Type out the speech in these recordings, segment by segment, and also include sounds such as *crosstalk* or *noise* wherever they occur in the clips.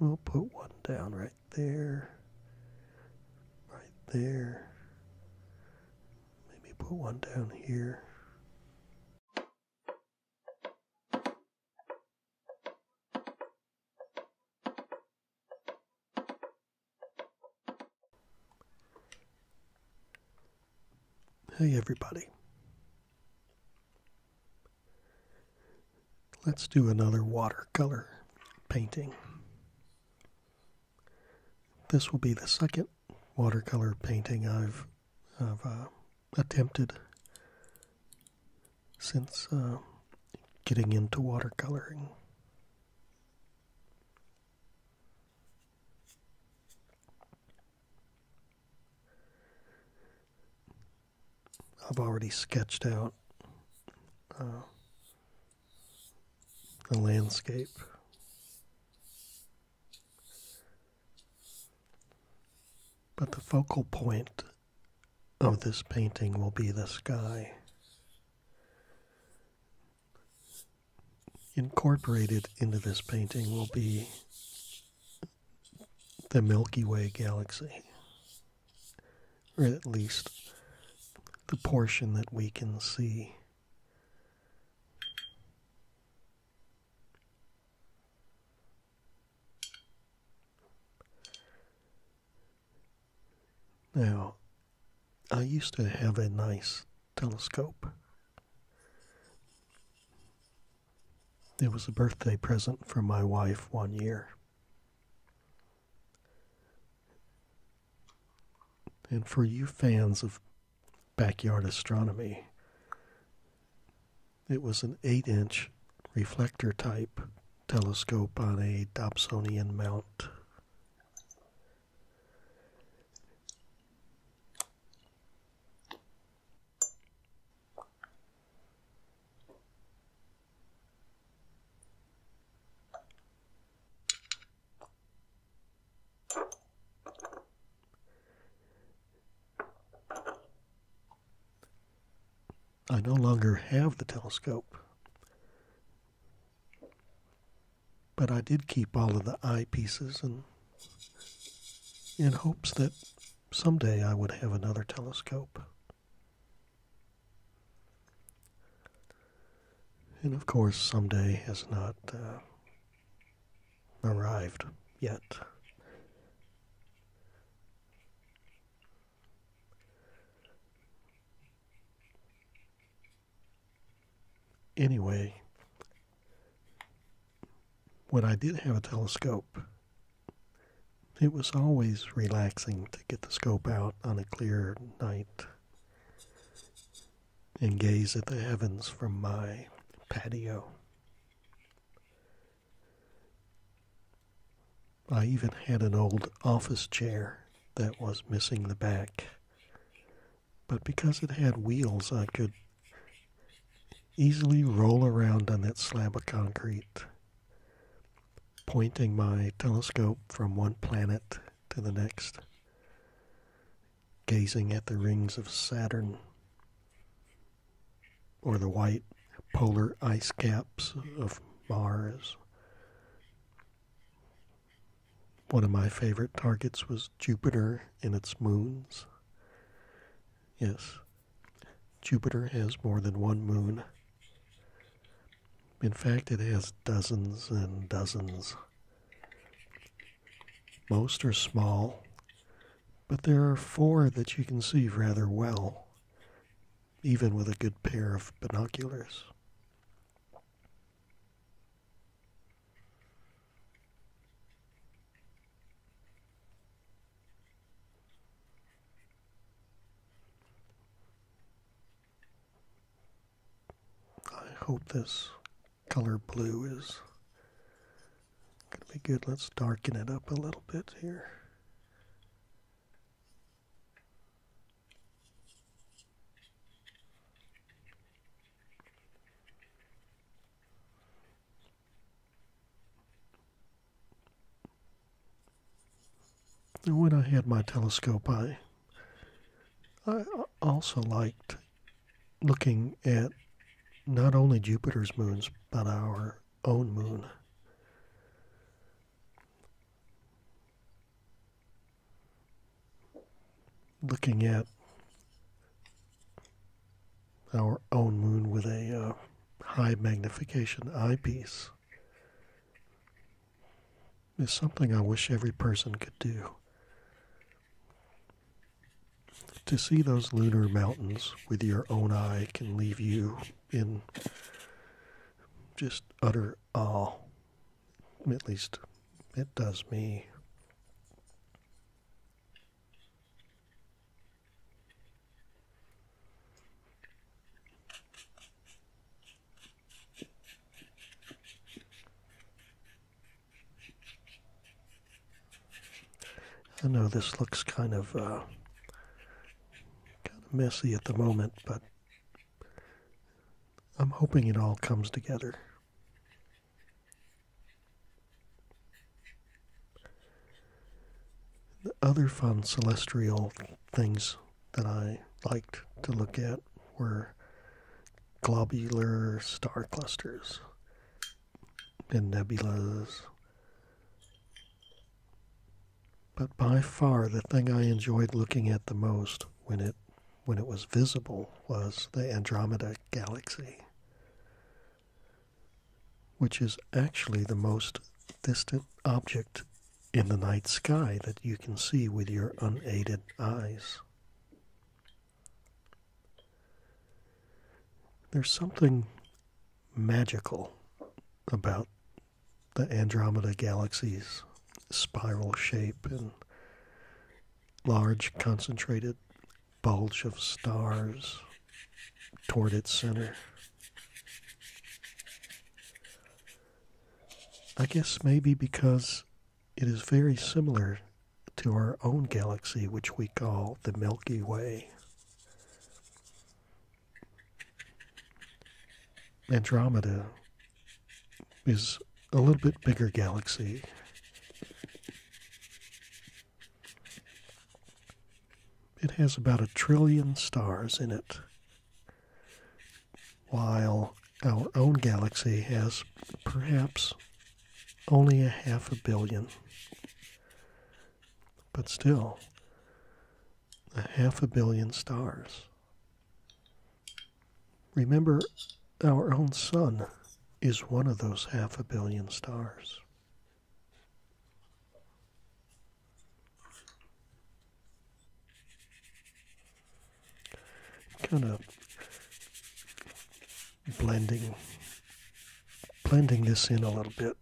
We'll put one down right there, right there. Maybe put one down here. Hey, everybody. Let's do another watercolor painting. This will be the second watercolor painting I've, uh, attempted since uh, getting into watercoloring. I've already sketched out uh, the landscape. But the focal point of this painting will be the sky. Incorporated into this painting will be the Milky Way galaxy, or at least the portion that we can see. Now, I used to have a nice telescope. It was a birthday present from my wife one year. And for you fans of backyard astronomy, it was an 8 inch reflector type telescope on a Dobsonian mount. I no longer have the telescope. But I did keep all of the eyepieces and in hopes that someday I would have another telescope. And of course, someday has not uh, arrived yet. Anyway, when I did have a telescope, it was always relaxing to get the scope out on a clear night and gaze at the heavens from my patio. I even had an old office chair that was missing the back. But because it had wheels, I could easily roll around on that slab of concrete pointing my telescope from one planet to the next, gazing at the rings of Saturn or the white polar ice caps of Mars. One of my favorite targets was Jupiter and its moons. Yes, Jupiter has more than one moon. In fact, it has dozens and dozens. Most are small, but there are four that you can see rather well, even with a good pair of binoculars. I hope this color blue is going to be good. Let's darken it up a little bit here when I had my telescope, I, I also liked looking at not only Jupiter's moons, but our own moon. Looking at our own moon with a uh, high magnification eyepiece is something I wish every person could do. To see those lunar mountains with your own eye can leave you in just utter awe. At least it does me. I know this looks kind of uh, kind of messy at the moment, but I'm hoping it all comes together. The Other fun celestial things that I liked to look at were globular star clusters and nebulae. But by far the thing I enjoyed looking at the most when it when it was visible was the Andromeda galaxy which is actually the most distant object in the night sky that you can see with your unaided eyes. There's something magical about the Andromeda galaxy's spiral shape and large concentrated bulge of stars toward its center. I guess maybe because it is very similar to our own galaxy, which we call the Milky Way. Andromeda is a little bit bigger galaxy. It has about a trillion stars in it, while our own galaxy has perhaps only a half a billion. But still, a half a billion stars. Remember, our own sun is one of those half a billion stars kind of blending blending this in a little bit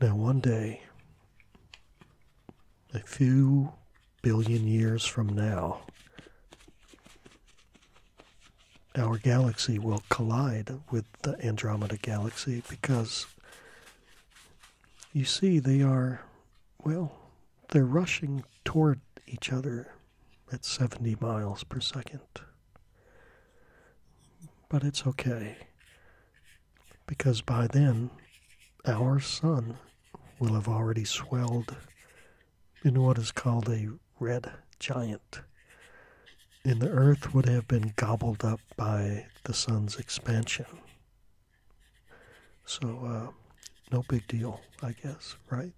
now, one day, a few billion years from now, our galaxy will collide with the Andromeda galaxy because you see, they are, well, they're rushing toward each other at 70 miles per second. But it's okay, because by then, our sun will have already swelled into what is called a red giant, and the Earth would have been gobbled up by the sun's expansion. So, uh, no big deal, I guess, right? *laughs*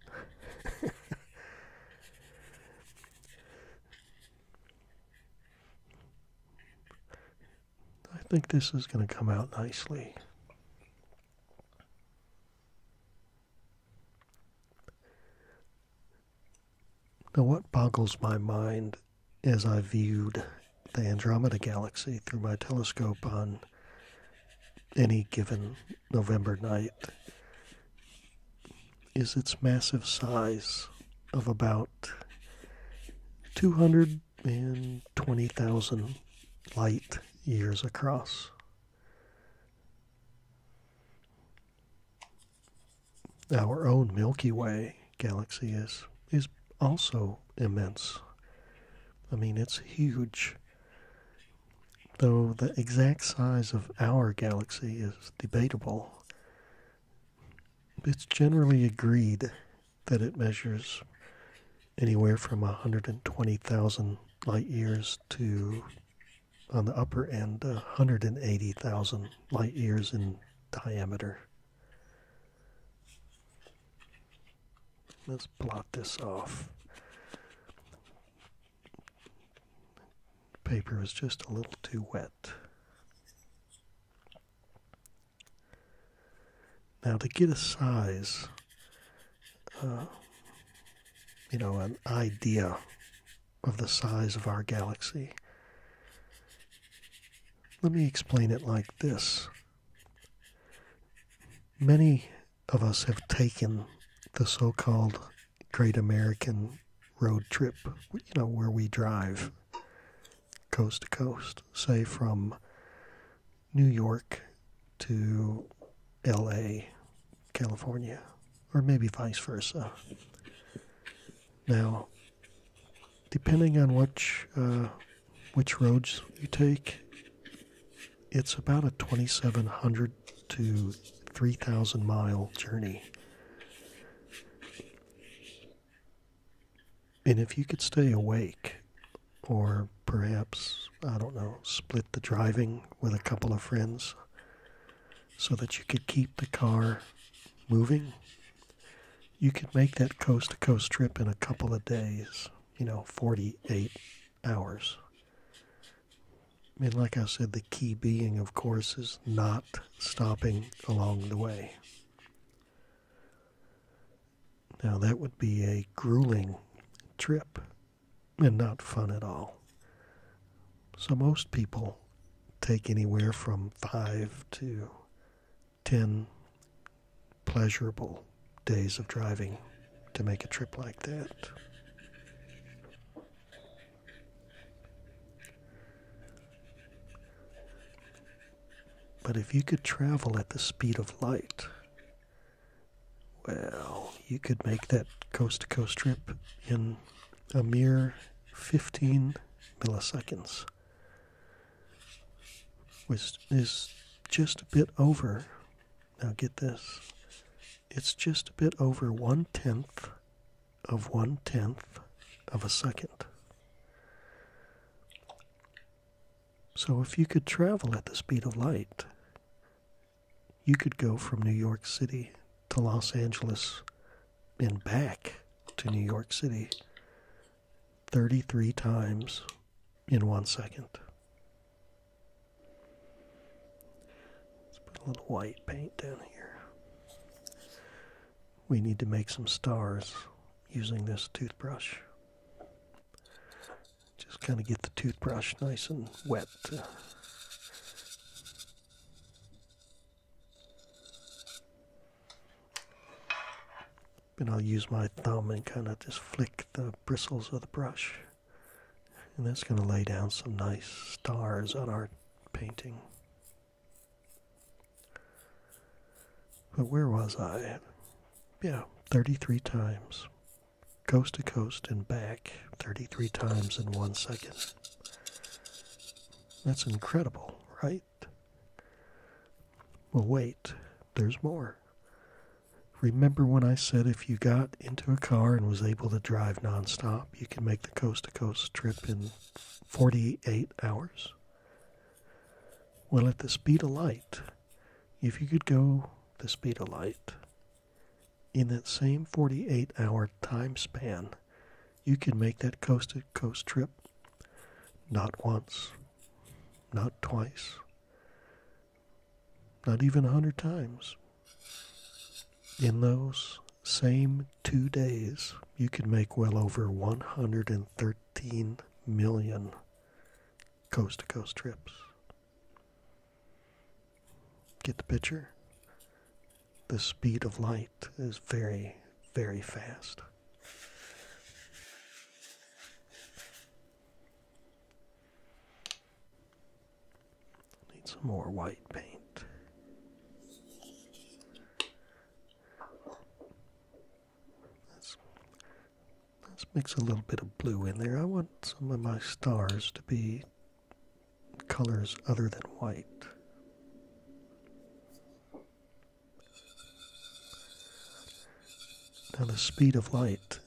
I think this is going to come out nicely. Now, what boggles my mind as I viewed the Andromeda Galaxy through my telescope on any given November night is its massive size of about 220,000 light years across. Our own Milky Way galaxy is is also immense. I mean, it's huge though the exact size of our galaxy is debatable. It's generally agreed that it measures anywhere from 120,000 light years to, on the upper end, 180,000 light years in diameter. Let's blot this off paper was just a little too wet. Now to get a size, uh, you know, an idea of the size of our galaxy, let me explain it like this. Many of us have taken the so called Great American Road Trip, you know, where we drive coast to coast, say from New York to LA, California, or maybe vice versa. Now, depending on which uh, which roads you take, it's about a 2,700 to 3,000 mile journey. And if you could stay awake, or perhaps, I don't know, split the driving with a couple of friends so that you could keep the car moving, you could make that coast to coast trip in a couple of days, you know, 48 hours. And like I said, the key being, of course, is not stopping along the way. Now, that would be a grueling trip and not fun at all. So, most people take anywhere from five to ten pleasurable days of driving to make a trip like that. But if you could travel at the speed of light, well, you could make that coast to coast trip in a mere 15 milliseconds, which is just a bit over now get this. It's just a bit over one tenth of one tenth of a second. So if you could travel at the speed of light, you could go from New York City to Los Angeles and back to New York City 33 times in one second. Let's put a little white paint down here. We need to make some stars using this toothbrush. Just kind of get the toothbrush nice and wet. And I'll use my thumb and kind of just flick the bristles of the brush and that's going to lay down some nice stars on our painting. But where was I? Yeah, 33 times. Coast to coast and back 33 times in one second. That's incredible, right? Well, wait, there's more. Remember when I said if you got into a car and was able to drive nonstop, you could make the coast to coast trip in 48 hours? Well, at the speed of light, if you could go the speed of light, in that same 48 hour time span, you could make that coast to coast trip not once, not twice, not even a hundred times. In those same two days, you could make well over 113 million coast to coast trips. Get the picture? The speed of light is very, very fast. Need some more white paint. Let's, let's mix a little bit of blue in there. I want some of my stars to be colors other than white. Now, the speed of light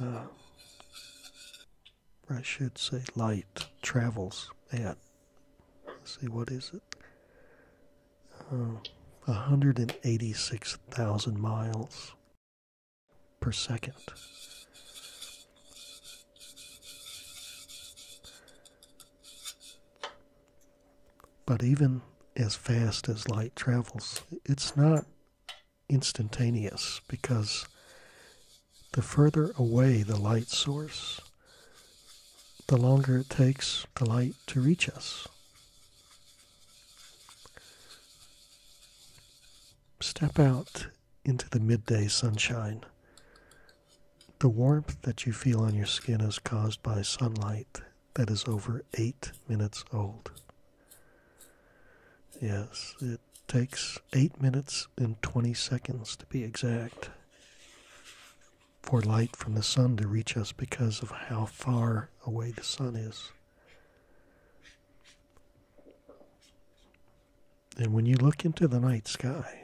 uh, I should say light travels at let's see what is it uh, 186,000 miles per second. But even as fast as light travels, it's not instantaneous because the further away the light source, the longer it takes the light to reach us. Step out into the midday sunshine. The warmth that you feel on your skin is caused by sunlight that is over eight minutes old. Yes, it takes 8 minutes and 20 seconds to be exact for light from the sun to reach us because of how far away the sun is. And when you look into the night sky,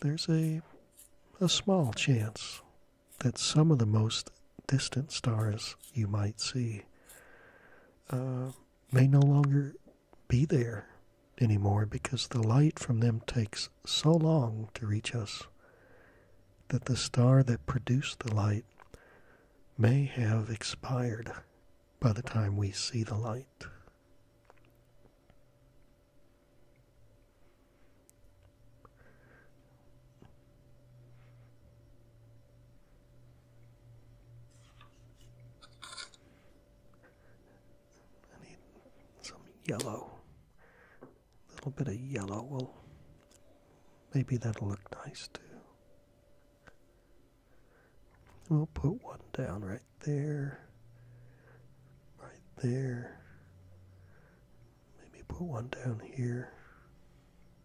there's a, a small chance that some of the most distant stars you might see uh, may no longer be there anymore because the light from them takes so long to reach us that the star that produced the light may have expired by the time we see the light. I need some yellow. A little bit of yellow will maybe that'll look nice too. We'll put one down right there, right there. Maybe put one down here.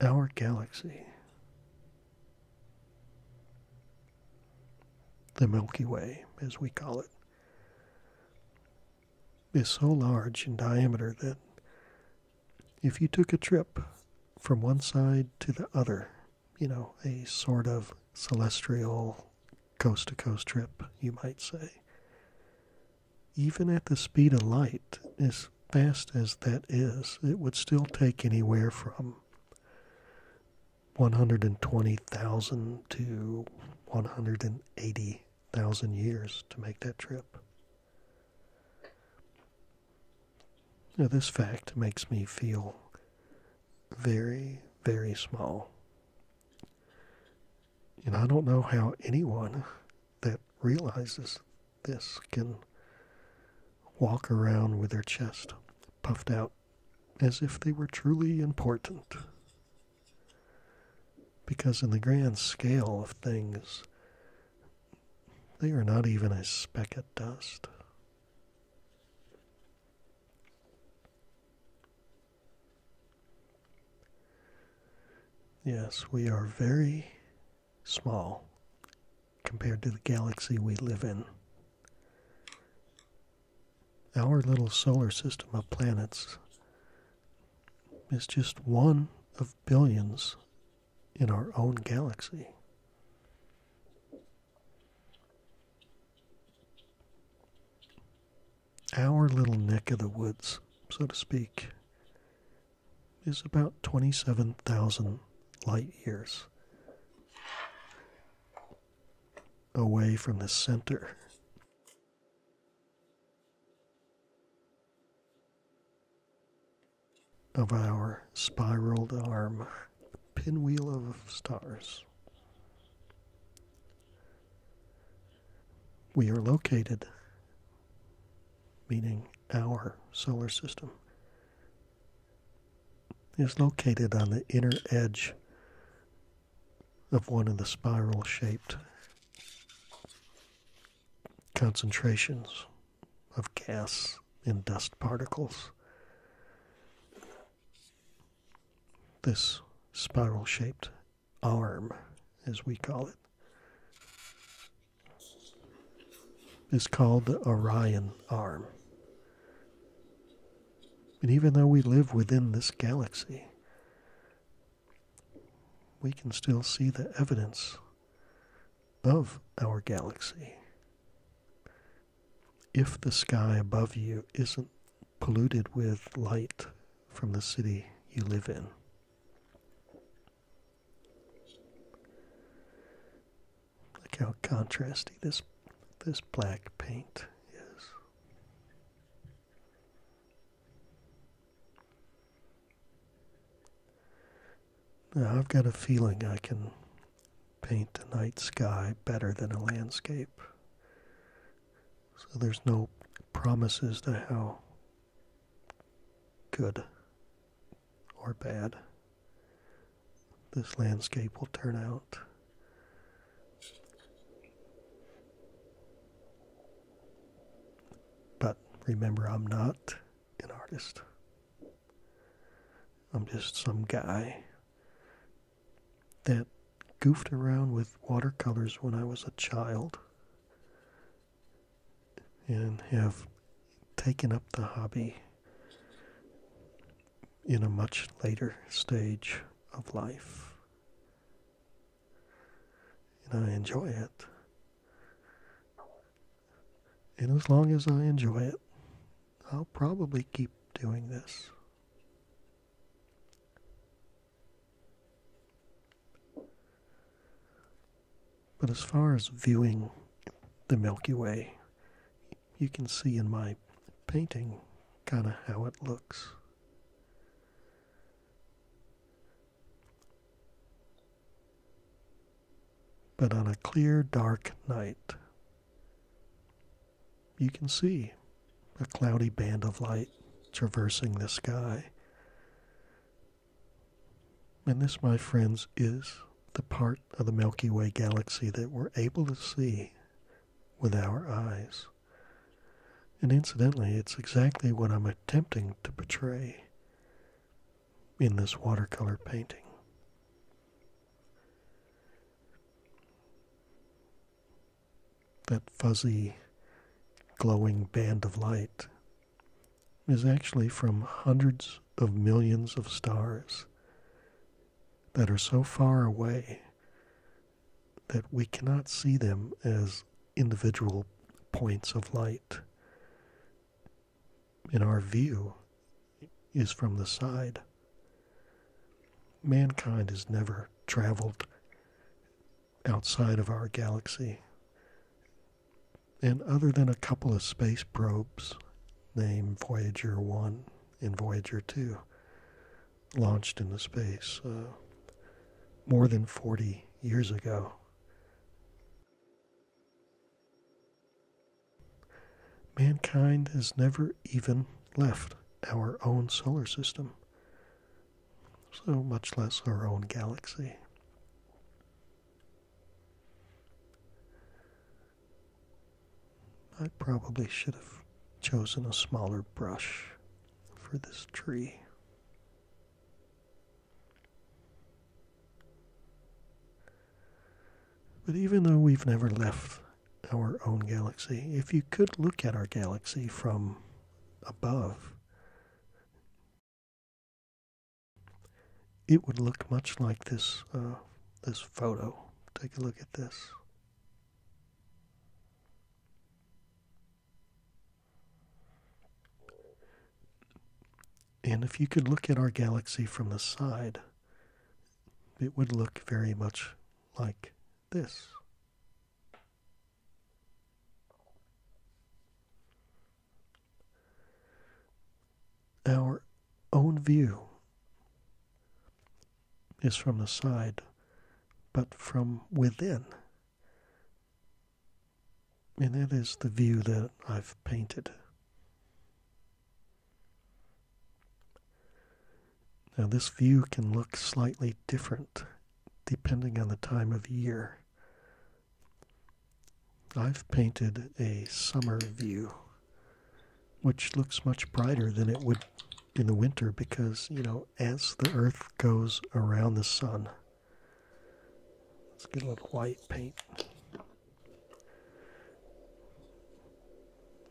Our galaxy, the Milky Way, as we call it, is so large in diameter that if you took a trip from one side to the other, you know, a sort of celestial coast to coast trip, you might say, even at the speed of light, as fast as that is, it would still take anywhere from 120,000 to 180,000 years to make that trip. Now, this fact makes me feel very, very small. And I don't know how anyone that realizes this can walk around with their chest puffed out as if they were truly important. Because in the grand scale of things, they are not even a speck of dust. Yes, we are very small compared to the galaxy we live in. Our little solar system of planets is just one of billions in our own galaxy. Our little neck of the woods, so to speak, is about 27,000 light years away from the center. Of our spiraled arm, pinwheel of stars we are located, meaning our solar system, is located on the inner edge of one of the spiral shaped concentrations of gas and dust particles. This spiral shaped arm, as we call it, is called the Orion arm. And even though we live within this galaxy, we can still see the evidence of our galaxy. If the sky above you isn't polluted with light from the city you live in, Look how contrasty this this black paint is. Now I've got a feeling I can paint the night sky better than a landscape. So there's no promises to hell good or bad, this landscape will turn out. But remember, I'm not an artist. I'm just some guy that goofed around with watercolors when I was a child and have taken up the hobby in a much later stage of life. And I enjoy it. And as long as I enjoy it, I'll probably keep doing this. But as far as viewing the Milky Way, you can see in my painting kind of how it looks. But on a clear, dark night, you can see a cloudy band of light traversing the sky and this, my friends, is the part of the Milky Way galaxy that we're able to see with our eyes. And incidentally, it's exactly what I'm attempting to portray in this watercolor painting. That fuzzy, glowing band of light is actually from hundreds of millions of stars that are so far away that we cannot see them as individual points of light. In our view is from the side. Mankind has never traveled outside of our galaxy. And other than a couple of space probes named Voyager 1 and Voyager 2 launched into space uh, more than 40 years ago, mankind has never even left our own solar system so much less our own galaxy. I probably should have chosen a smaller brush for this tree. But even though we've never left our own galaxy, if you could look at our galaxy from above, it would look much like this uh, this photo. Take a look at this. And if you could look at our galaxy from the side, it would look very much like this. Our own view is from the side, but from within. And that is the view that I've painted. Now, this view can look slightly different depending on the time of year. I've painted a summer view, which looks much brighter than it would in the winter because, you know, as the earth goes around the sun, let's get a little white paint.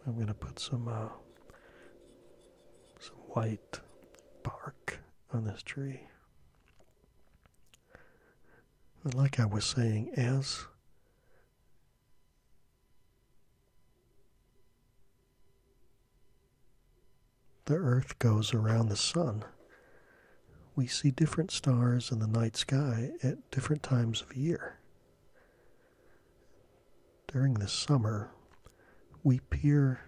I'm going to put some uh, some white bark on this tree like I was saying, as the Earth goes around the Sun, we see different stars in the night sky at different times of year. During the summer, we peer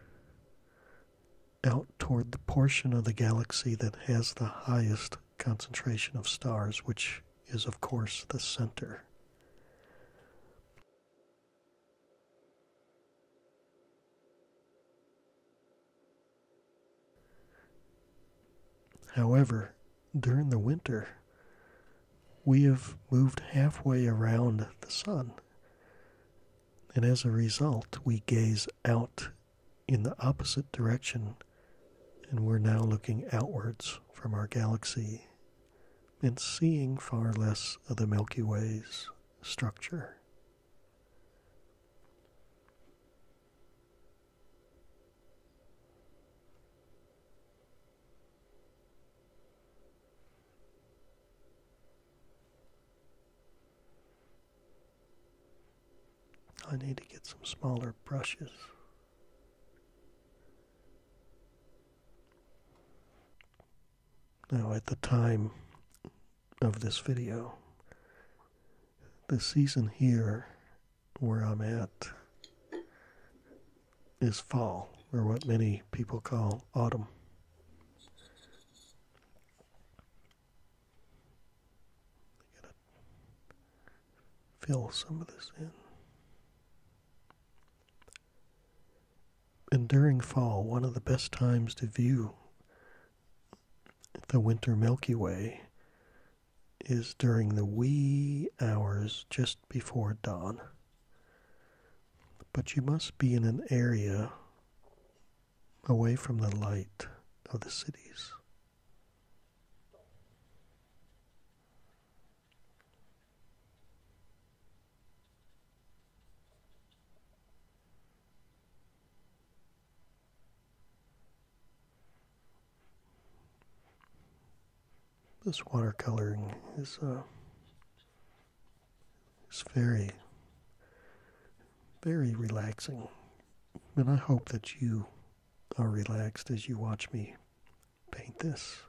out toward the portion of the galaxy that has the highest concentration of stars, which is, of course, the center. However, during the winter, we have moved halfway around the sun and as a result, we gaze out in the opposite direction, and we're now looking outwards from our galaxy and seeing far less of the Milky Way's structure. I need to get some smaller brushes. Now, at the time of this video, the season here where I'm at is fall, or what many people call autumn. I gotta fill some of this in. And during fall, one of the best times to view the winter Milky Way is during the wee hours just before dawn. But you must be in an area away from the light of the cities. This watercoloring is uh, it's very, very relaxing. And I hope that you are relaxed as you watch me paint this.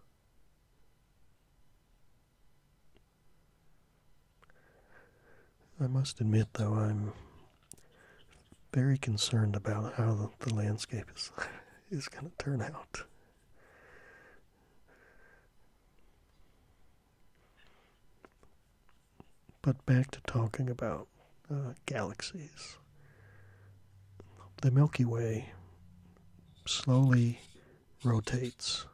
I must admit, though, I'm very concerned about how the, landscape is, *laughs* is going to turn out. But back to talking about uh, galaxies. The Milky Way slowly rotates,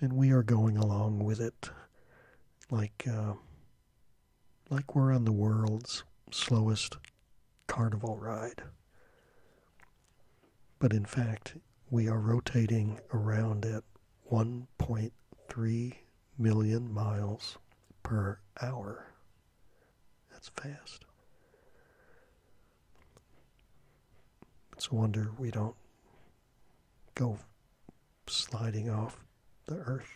and we are going along with it like uh, like we're on the world's slowest carnival ride. But in fact, we are rotating around at 1.3 million miles per hour. That's fast. It's a wonder we don't go sliding off the earth.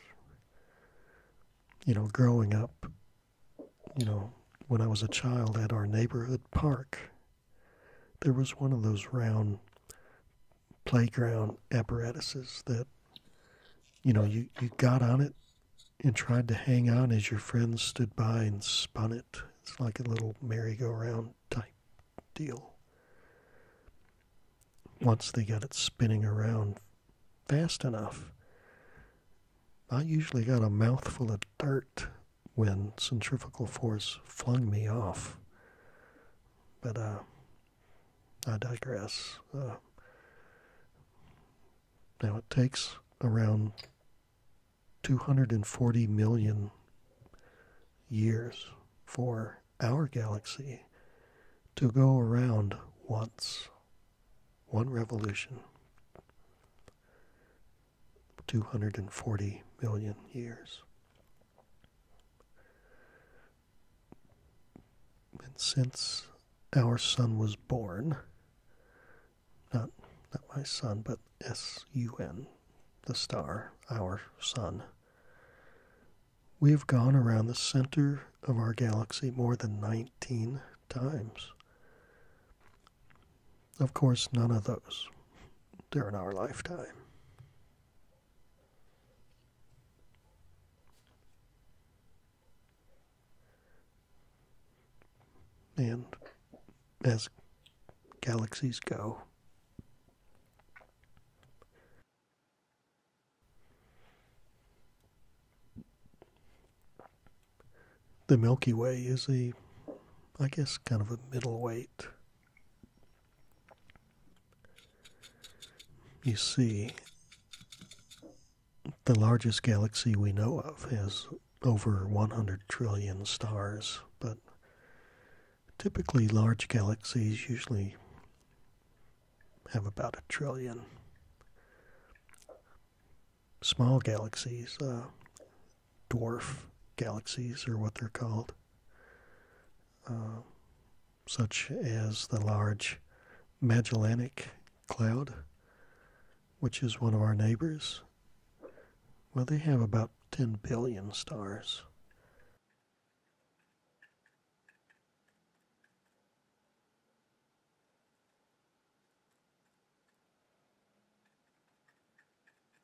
You know, growing up, you know, when I was a child at our neighborhood park there was one of those round playground apparatuses that, you know, you, you got on it and tried to hang on as your friends stood by and spun it. It's like a little merry-go-round type deal. Once they got it spinning around fast enough, I usually got a mouthful of dirt when centrifugal force flung me off. But uh, I digress. Uh, now it takes around 240 million years for our galaxy to go around once, one revolution. 240 million years. And since our sun was born, not, not my sun, but S U N, the star, our sun, we have gone around the center of our galaxy more than 19 times. Of course, none of those during our lifetime. And as galaxies go, the Milky Way is a, I guess, kind of a middleweight you see, the largest galaxy we know of has over 100 trillion stars, but typically large galaxies usually have about a trillion. Small galaxies, uh, dwarf galaxies, or what they're called, uh, such as the large Magellanic Cloud, which is one of our neighbors. Well, they have about 10 billion stars.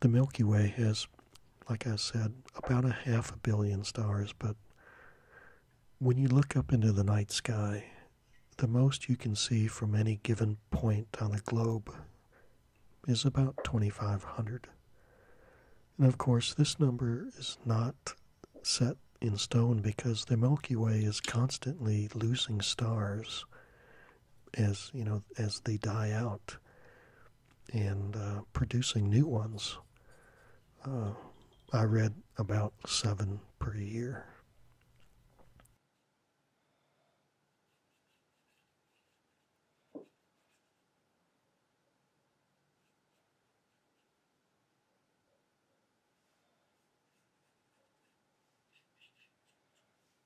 The Milky Way has, like I said, about a half a billion stars, but when you look up into the night sky, the most you can see from any given point on the globe is about 2,500. And of course, this number is not set in stone because the Milky Way is constantly losing stars as you know as they die out and uh, producing new ones. Uh, I read about seven per year.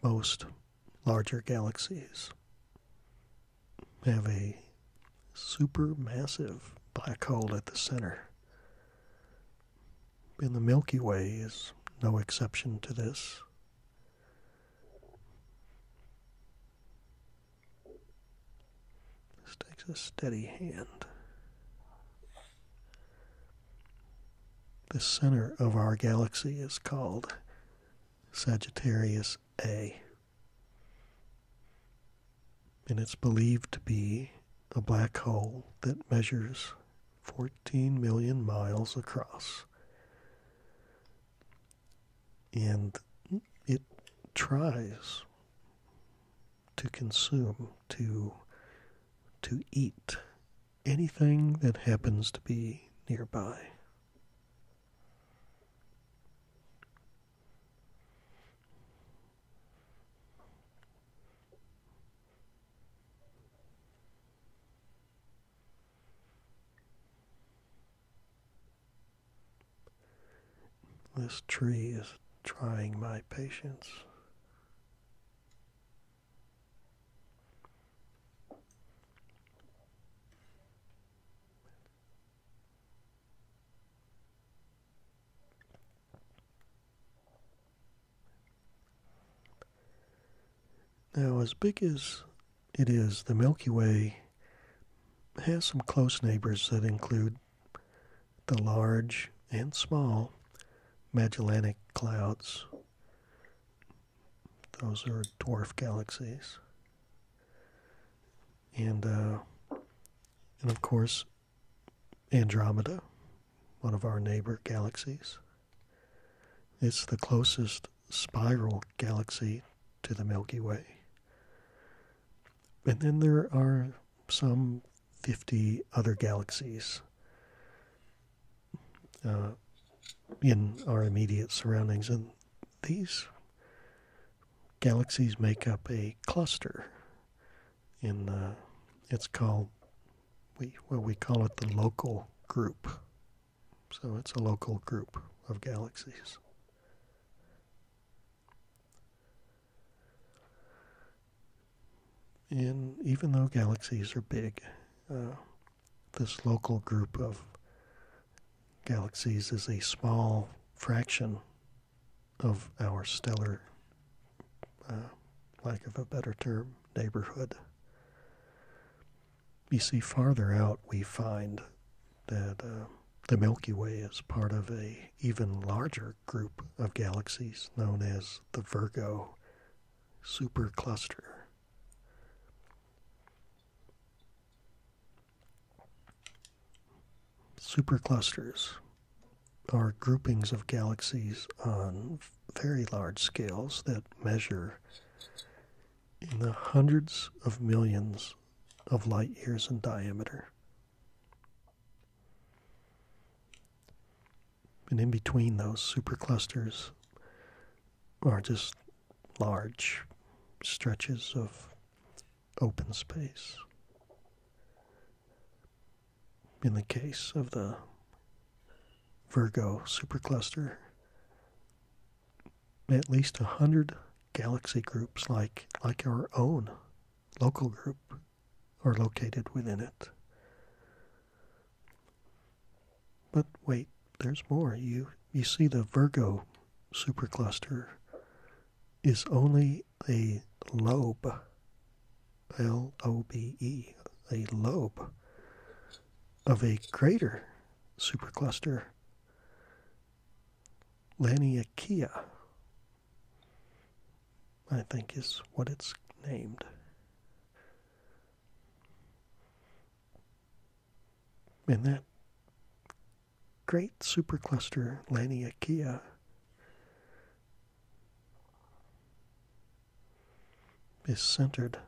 Most larger galaxies have a supermassive black hole at the center. And the Milky Way is no exception to this. This takes a steady hand. The center of our galaxy is called Sagittarius A and it's believed to be a black hole that measures 14 million miles across. And it tries to consume, to, to eat anything that happens to be nearby. This tree is trying my patience. Now, as big as it is, the Milky Way has some close neighbors that include the large and small Magellanic clouds. Those are dwarf galaxies. And, uh, and of course, Andromeda, one of our neighbor galaxies. It's the closest spiral galaxy to the Milky Way. And then there are some 50 other galaxies uh, in our immediate surroundings. And these galaxies make up a cluster in uh, it's called we well we call it the local group. So it's a local group of galaxies. And even though galaxies are big, uh, this local group of galaxies is a small fraction of our stellar, uh, lack of a better term, neighborhood. You see, farther out we find that uh, the Milky Way is part of a even larger group of galaxies known as the Virgo supercluster. Superclusters are groupings of galaxies on very large scales that measure in the hundreds of millions of light years in diameter. And in between those superclusters are just large stretches of open space. In the case of the Virgo supercluster, at least a hundred galaxy groups like, like our own local group are located within it. But wait, there's more. You, you see, the Virgo supercluster is only a lobe. L O B E, a lobe of a greater supercluster, Laniakea, I think is what it's named. And that great supercluster, Laniakea, is centered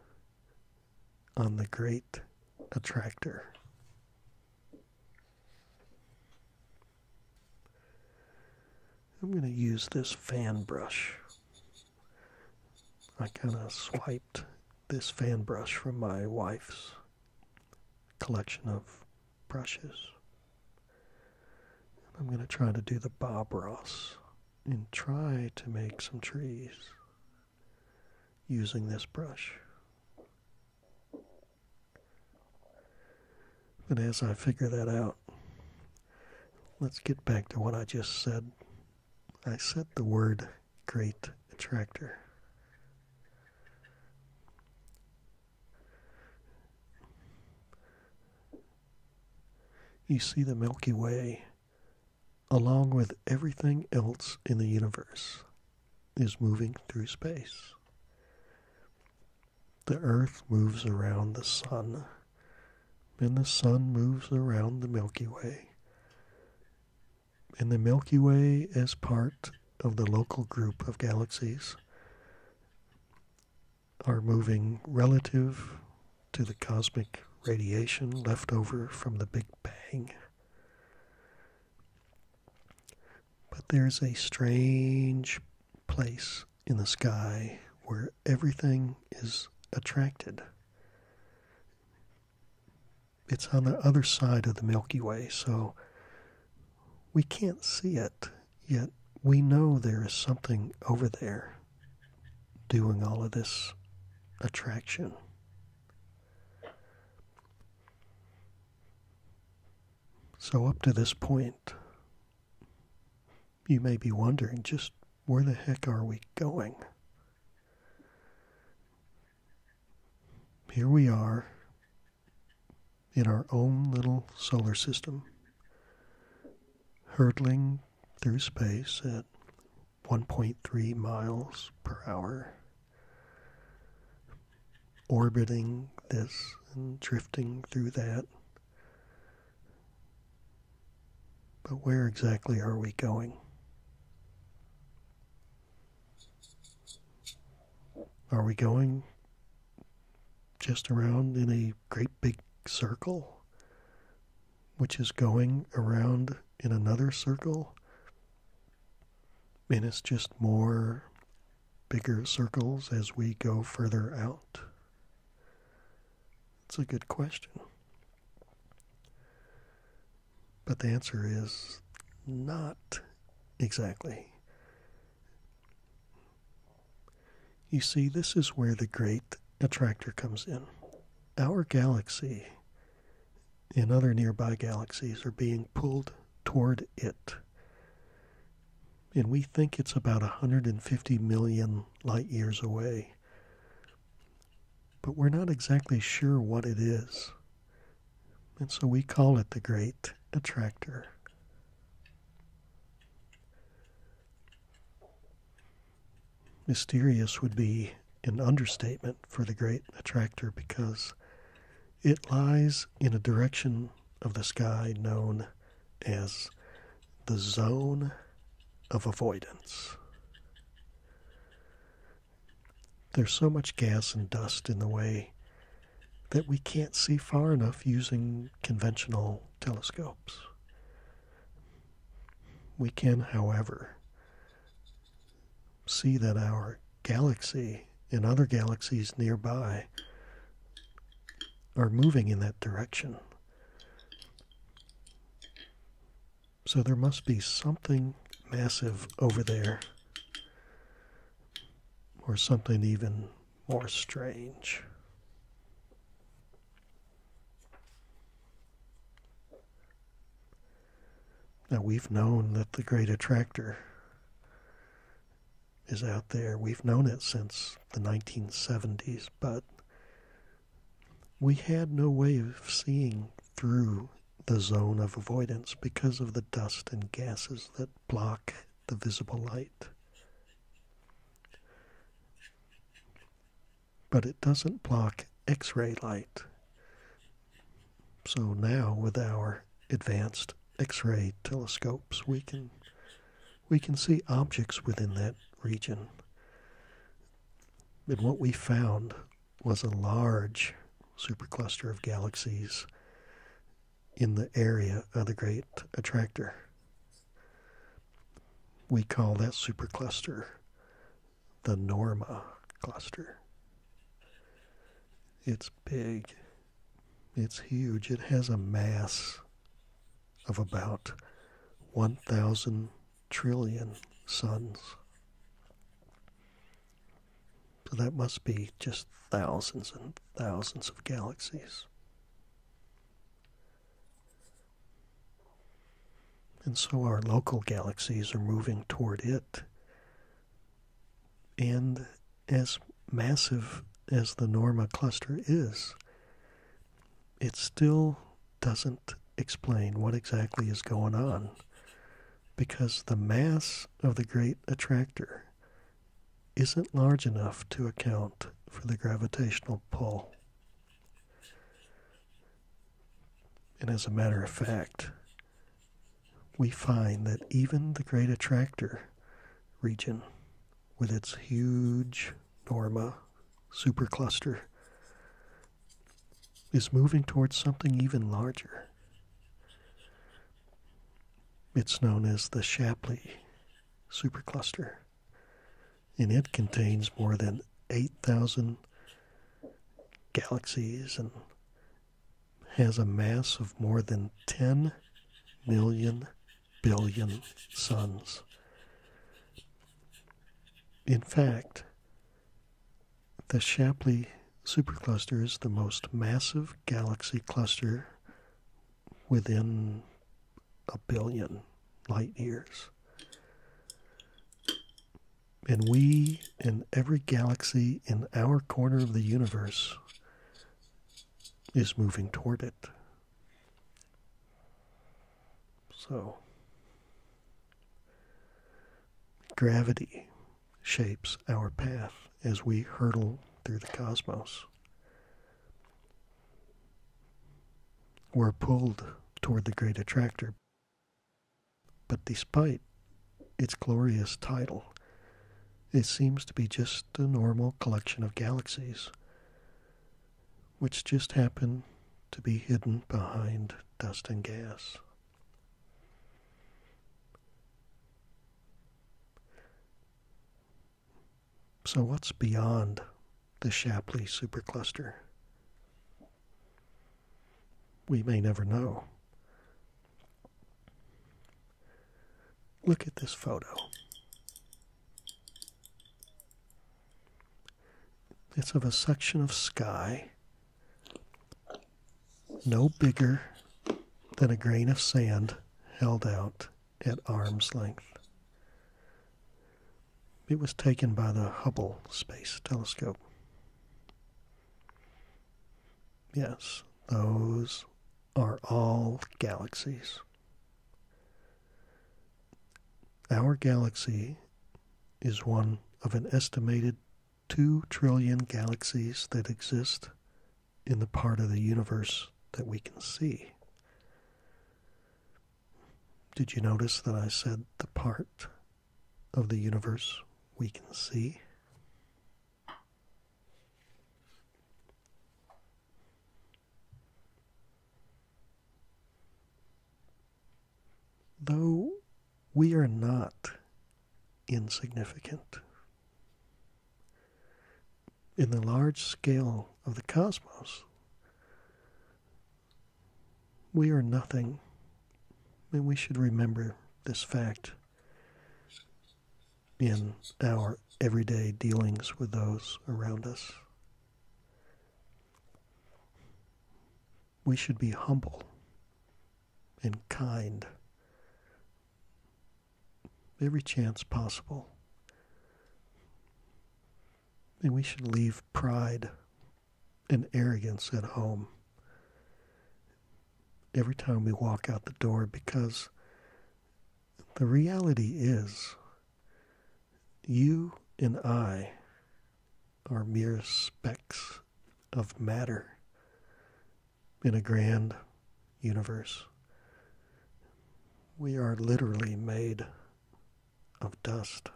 on the great attractor. I'm going to use this fan brush. I kind of swiped this fan brush from my wife's collection of brushes. I'm going to try to do the Bob and try to make some trees using this brush. But as I figure that out, let's get back to what I just said. I said the word great attractor. You see the Milky Way, along with everything else in the universe, is moving through space. The Earth moves around the Sun, and the Sun moves around the Milky Way. And the Milky Way is part of the local group of galaxies are moving relative to the cosmic radiation left over from the Big Bang. But there's a strange place in the sky where everything is attracted. It's on the other side of the Milky Way, so we can't see it, yet we know there is something over there doing all of this attraction. So, up to this point, you may be wondering just where the heck are we going? Here we are in our own little solar system, hurtling through space at 1.3 miles per hour, orbiting this and drifting through that. But where exactly are we going? Are we going just around in a great big circle, which is going around in another circle? And it's just more bigger circles as we go further out? It's a good question. But the answer is not exactly. You see, this is where the great attractor comes in. Our galaxy and other nearby galaxies are being pulled toward it. And we think it's about 150 million light years away. But we're not exactly sure what it is. And so we call it the Great Attractor. Mysterious would be an understatement for the great attractor because it lies in a direction of the sky known as the zone of avoidance. There's so much gas and dust in the way that we can't see far enough using conventional telescopes. We can, however, see that our galaxy and other galaxies nearby are moving in that direction. So there must be something massive over there, or something even more strange. Now, we've known that the great attractor is out there. We've known it since the 1970s, but we had no way of seeing through the zone of avoidance because of the dust and gases that block the visible light. But it doesn't block X ray light. So now, with our advanced X ray telescopes, we can, we can see objects within that region. And what we found was a large supercluster of galaxies in the area of the great attractor. We call that supercluster the Norma cluster. It's big, it's huge, it has a mass of about 1,000 trillion suns. So that must be just thousands and thousands of galaxies. And so our local galaxies are moving toward it. And as massive as the Norma cluster is, it still doesn't explain what exactly is going on because the mass of the great attractor isn't large enough to account for the gravitational pull. And as a matter of fact, we find that even the Great Attractor region, with its huge Norma supercluster, is moving towards something even larger. It's known as the Shapley supercluster, and it contains more than 8,000 galaxies and has a mass of more than 10 million billion suns. In fact, the Shapley supercluster is the most massive galaxy cluster within a billion light years. And we in every galaxy in our corner of the universe is moving toward it. So, gravity shapes our path as we hurtle through the cosmos. We're pulled toward the great attractor. But despite its glorious title, it seems to be just a normal collection of galaxies, which just happen to be hidden behind dust and gas. So, what's beyond the Shapley supercluster? We may never know. Look at this photo. It's of a section of sky no bigger than a grain of sand held out at arm's length. It was taken by the Hubble Space Telescope. Yes, those are all galaxies. Our galaxy is one of an estimated 2 trillion galaxies that exist in the part of the universe that we can see. Did you notice that I said the part of the universe we can see? Though we are not insignificant, in the large scale of the cosmos, we are nothing. And we should remember this fact in our everyday dealings with those around us. We should be humble and kind every chance possible. And we should leave pride and arrogance at home every time we walk out the door because the reality is you and I are mere specks of matter in a grand universe. We are literally made of dust.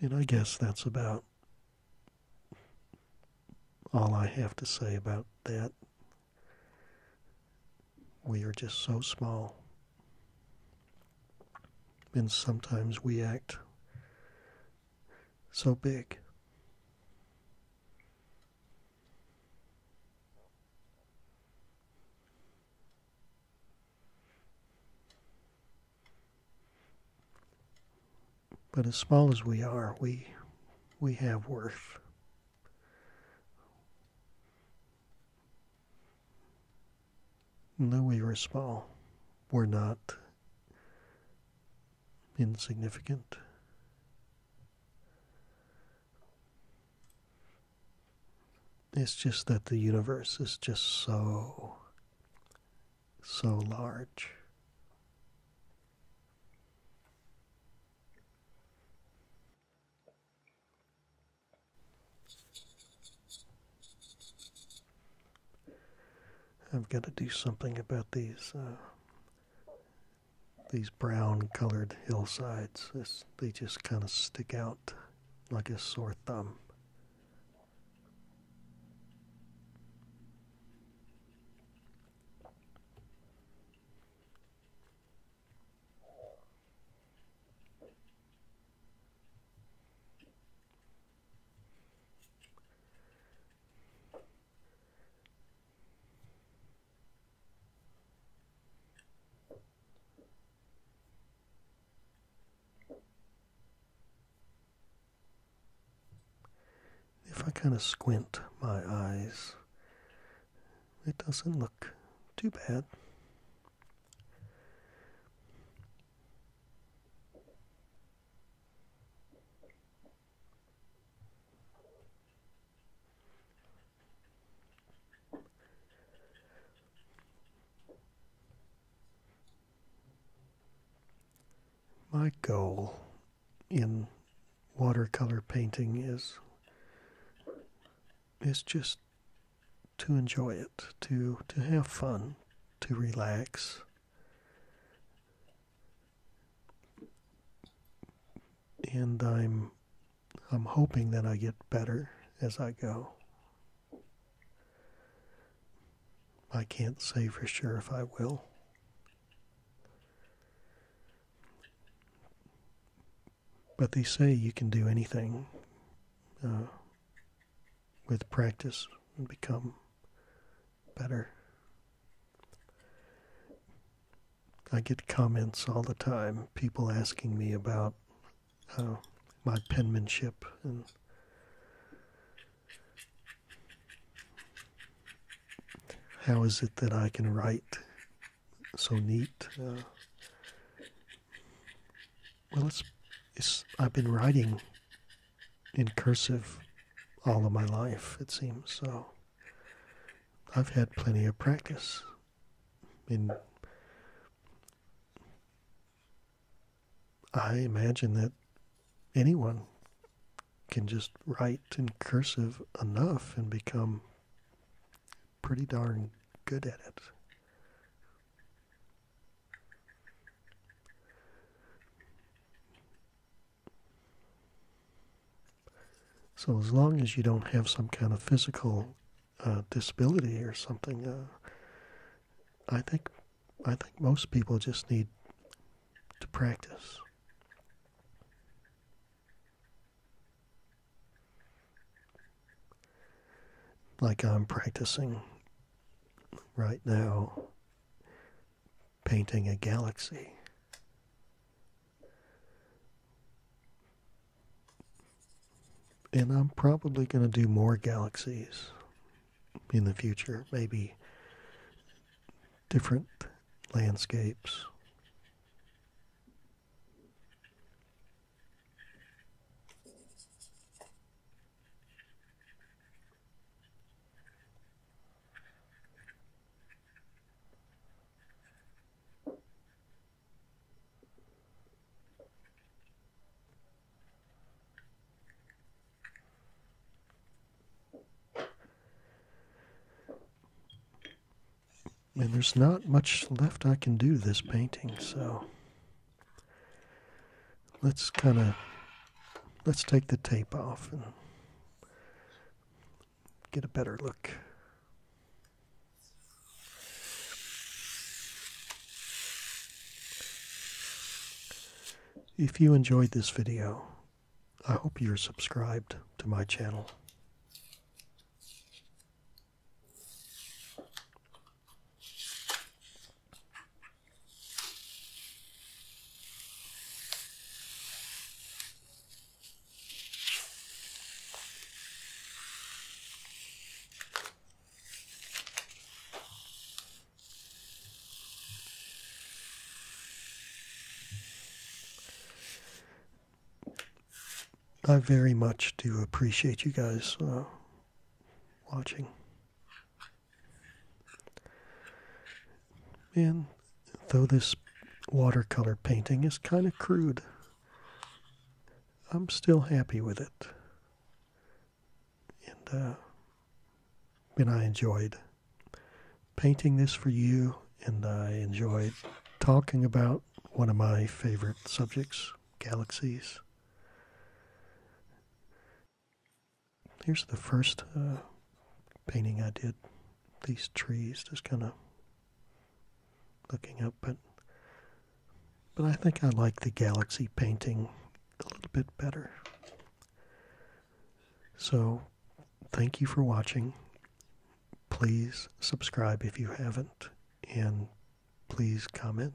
And I guess that's about all I have to say about that. We are just so small. And sometimes we act so big. But as small as we are, we, we have worth. Though we were small, we're not insignificant. It's just that the universe is just so, so large. I've got to do something about these uh, these brown-colored hillsides. they just kind of stick out like a sore thumb. If I kind of squint my eyes, it doesn't look too bad. My goal in watercolor painting is is just to enjoy it, to, to have fun, to relax. And I'm I'm hoping that I get better as I go. I can't say for sure if I will. But they say you can do anything uh, with practice and become better. I get comments all the time, people asking me about uh, my penmanship and how is it that I can write so neat? Uh, well, it's, it's I've been writing in cursive all of my life, it seems. So I've had plenty of practice I imagine that anyone can just write in cursive enough and become pretty darn good at it. So as long as you don't have some kind of physical uh, disability or something, uh, I think I think most people just need to practice like I'm practicing right now, painting a galaxy. And I'm probably going to do more galaxies in the future, maybe different landscapes. And there's not much left I can do to this painting, so let's kind of let's take the tape off and get a better look. If you enjoyed this video, I hope you're subscribed to my channel. I very much do appreciate you guys uh, watching. And though this watercolor painting is kind of crude, I'm still happy with it. And, uh, and I enjoyed painting this for you, and I enjoyed talking about one of my favorite subjects, galaxies. Here's the first uh, painting I did. These trees, just kind of looking up, but but I think I like the galaxy painting a little bit better. So, thank you for watching. Please subscribe if you haven't, and please comment.